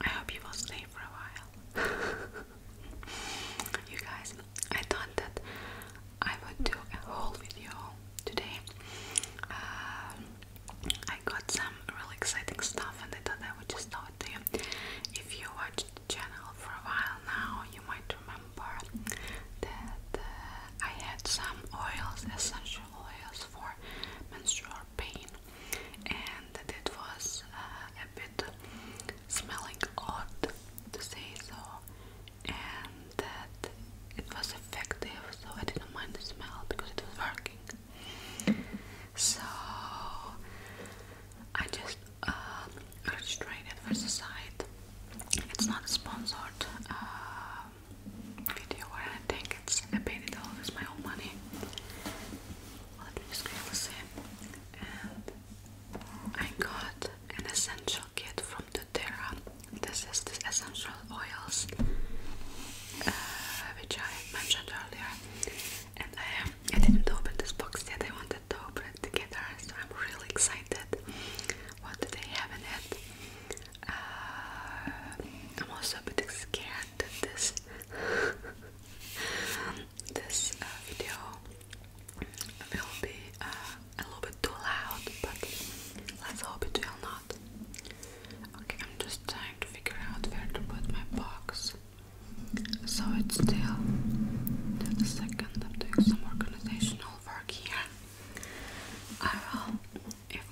I hope you will stay for a while. you guys, I thought that I would do a whole video today. Uh, I got some really exciting stuff, and I thought I would just throw it to you. If you watched the channel for a while now, you might remember that uh, I had some oils, essential oils for menstrual pain and it was uh, a bit smelling odd to say so, and that it was effective, so I didn't mind the smell because it was working. So I just uh, registered it for the site. It's not a sponsored uh, video I anything, it's I paid it all with my own money laundry screen was in and I got an essential kit from doTERRA. This is the essential oils uh, which I mentioned earlier and I, I didn't open this box yet, I wanted to open it together so I'm really excited what do they have in it. Uh, I'm also a bit scared of this this uh, video will be uh, a little bit too loud, but let's hope it will not. Okay, I'm just trying to figure out where to put my box so it's still till the second. some organizational work here. I will, if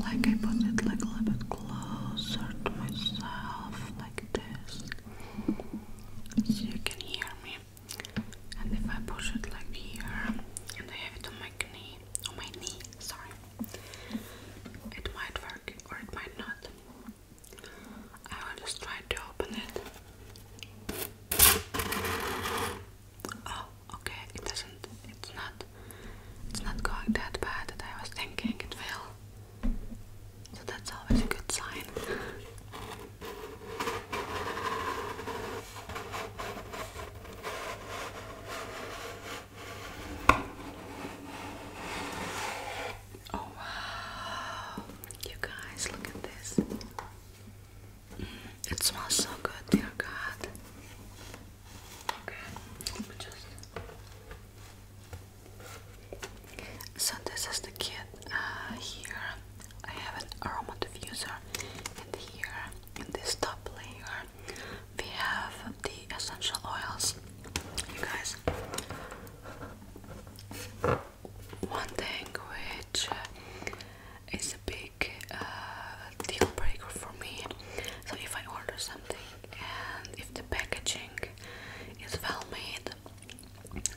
like I put it like a little bit closer to myself, like so you can hear me and if I push it like here and I have it on my knee on my knee sorry it might work or it might not I will just try to open it oh okay it doesn't it's not it's not going that bad that I was thinking it will so that's always a good sign. Oh wow. You guys, look at this. Mm, it smells so good, dear God. Okay, let me just so this is the kit. Uh, here I have an aroma diffuser, and here in this top layer we have the essential oils. You guys, one thing which uh, is a big uh, deal breaker for me. So if I order something and if the packaging it's well made,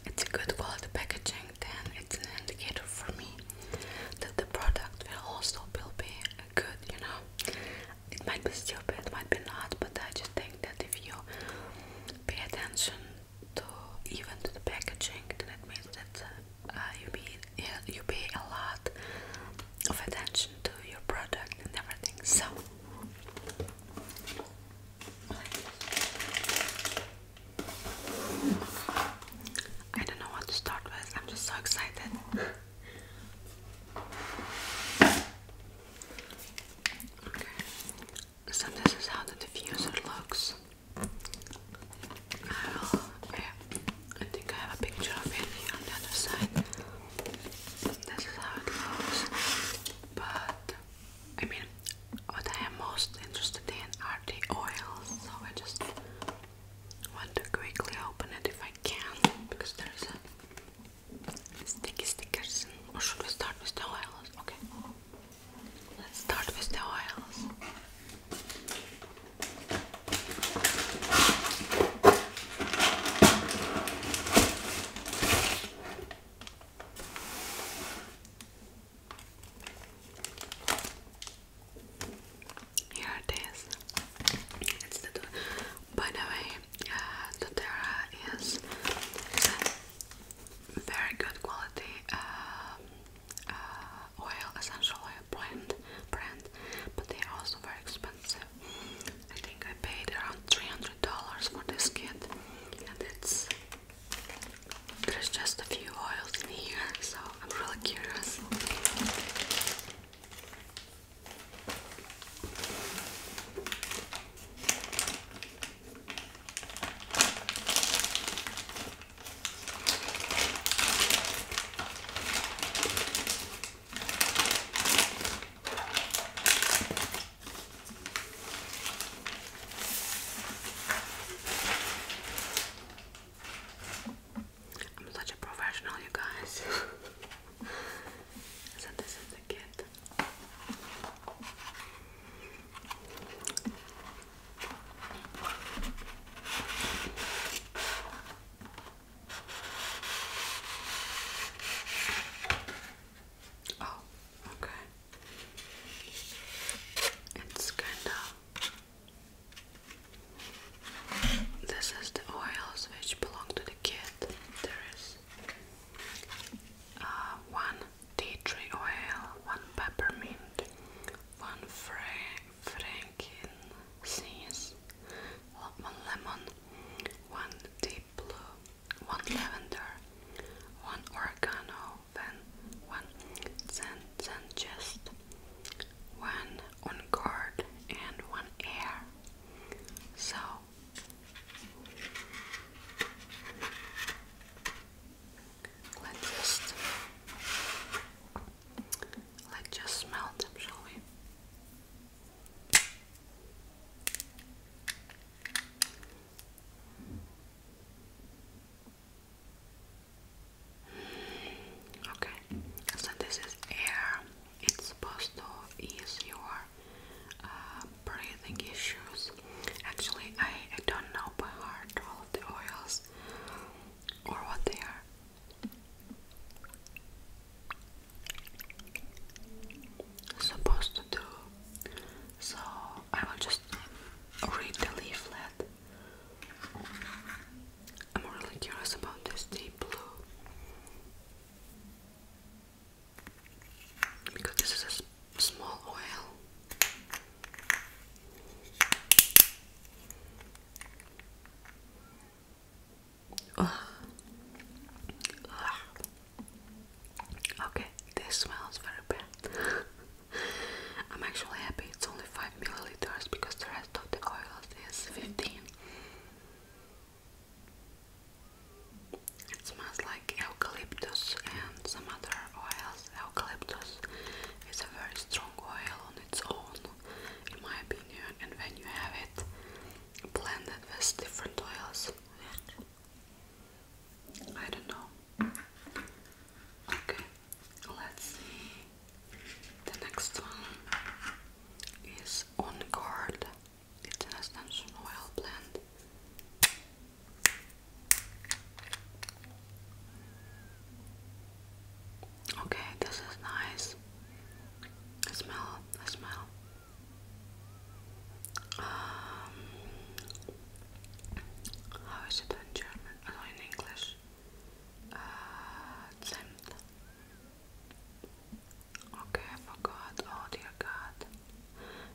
it's a good quality packaging, then it's an indicator for me that the product will also will be good, you know. It might be stupid, it might be not, but I just think that if you pay attention to even to the packaging, then it means that uh, you pay a lot of attention to your product and everything. So I don't know what to start with. I'm just so excited. Okay. So this is how the diffuser looks. I, will, okay. I think I have a picture of it here on the other side. This is how it looks. But I mean, what I am most interested in are the oils, so I just want to quickly open it if I can because there's a sticky stickers. Or should we start with the oils? Okay, let's start with the oils. Here it is. the door. By the way, uh, is very good quality uh, uh, oil, essential oil brand, brand, but they are also very expensive expensive. I think I paid around $300 for this kit, and it's there's just a few oils in here, so I'm really curious. I'm such a professional, you guys. so this is the kit. Oh, okay. It's kind of. This is the oils which belong to the kit. There is uh, one tea tree oil, one peppermint, one frankincense, one lemon, one deep blue, one lavender, one oregano, then one Sanchez, one on guard, and one air. So let's just let's just smell them, shall we? Okay, so this is air. It's supposed to ease your uh, breathing issues. Actually, I don't know by heart all of the oils or what they are supposed to do. So I will just read the leaflet. I'm really curious about this deep blue. Because this is a small oil. Ugh. Okay, this smells very bad. I'm actually happy it's only 5 milliliters because the rest of the oil is 15. It smells like eucalyptus and some other oils. Eucalyptus is a very strong oil on its own, in my opinion, and when you have it blended with different oils, I don't know. Okay, let's see. The next one is On Guard. It's an essential oil blend. Okay, this is nice. smell, smell. Um, how is it in German? Oh, no, in English. Uh, Zimt. Okay, I forgot. Oh dear God.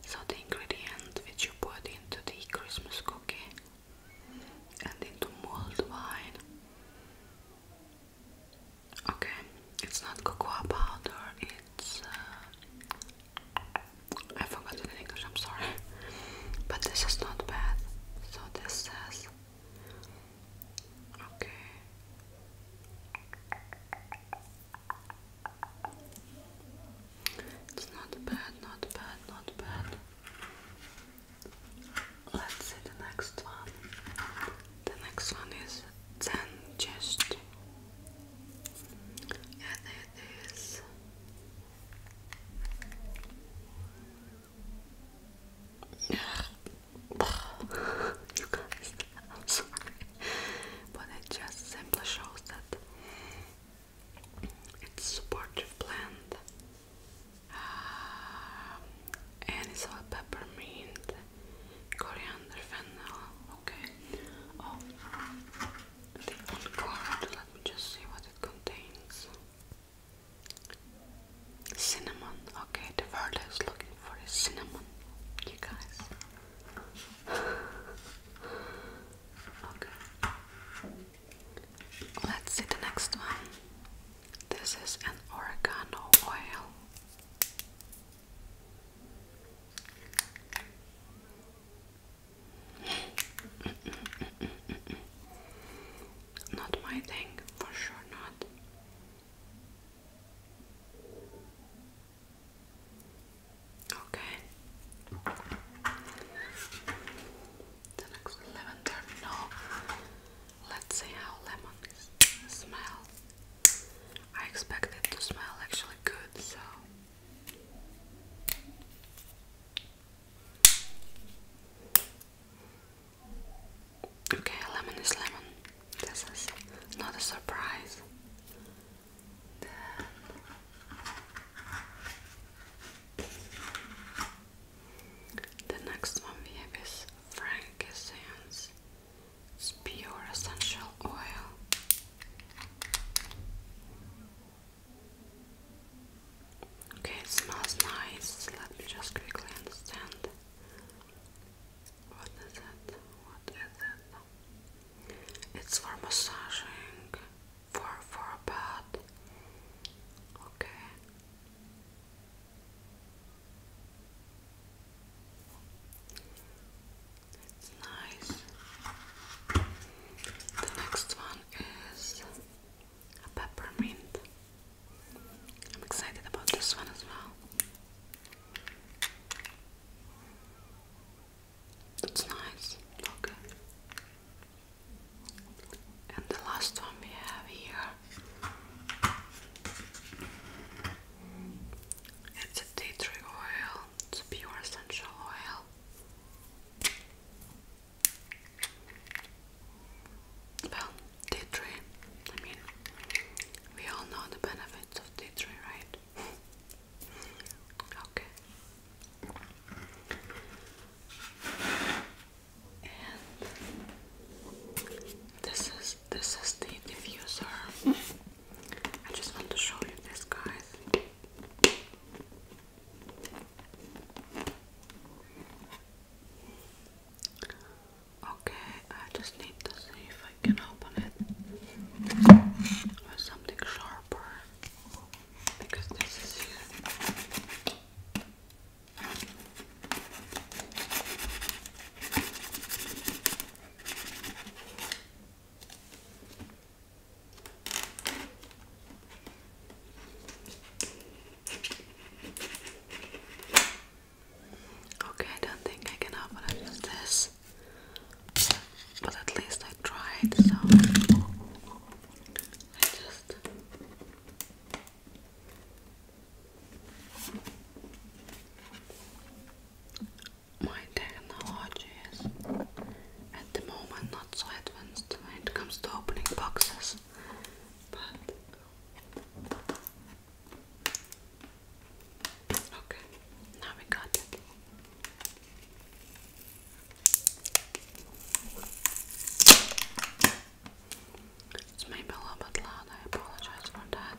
So the ingredient which you put into the Christmas cookie and into mulled wine. Okay, it's not cocoa powder, it's uh, I forgot the English, I'm sorry. But this is not bad. So this says okay. It's not bad, not bad, not bad. Let's see the next one. The next one is then just add this you but it just simply shows that it's supportive plant um, and it's all peppermint, coriander, fennel, Okay. Oh, the old card. Let me just see what it contains. Cinnamon. Okay, the word is looking for is cinnamon. You guys. okay. Let's see the next one. This is an oregano oil not my thing, for sure not. Okay. The next lavender, no. Let's see how lemon smells. I expect it to smell actually good, so Okay, lemon is lemon. This is not a surprise. the next one we have is frankincense it's pure essential oil. Okay, it smells nice. Let me just quickly understand. What is it? What is it? It's for massaging, for for a bed. Okay. It's nice. The next one is a peppermint. I'm excited about this one as well. It's nice. Okay. And the last one we have here it's a tea tree oil, it's pure essential oil. Well, tea tree, I mean, we all know the benefits of tea tree, right? okay. And this is this is the diffuser. I just want to show you this, guys. Okay, I just need to see if I can open it with something sharper because this is Okay, I don't think I can open this, but at least I tried, so I just my technology is at the moment not so advanced when it comes to opening boxes, but okay, now we got it. It's maybe a little bit loud, I apologize for that.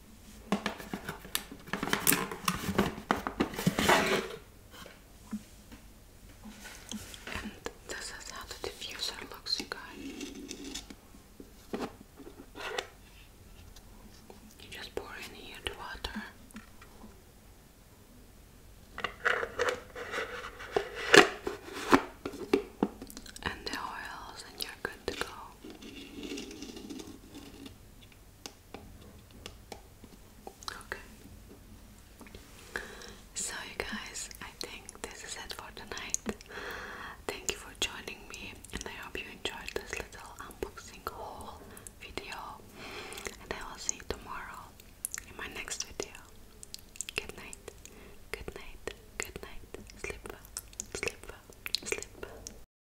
And this is how the diffuser looks, you guys. You just pour in here the water. And the oils, and you're good to go. Okay. So, you guys, I think this is it for tonight. Thank you for joining me, and I hope you enjoyed this little unboxing haul video. And I will see you tomorrow in my next video. Good night, good night, good night. Sleep sleep sleep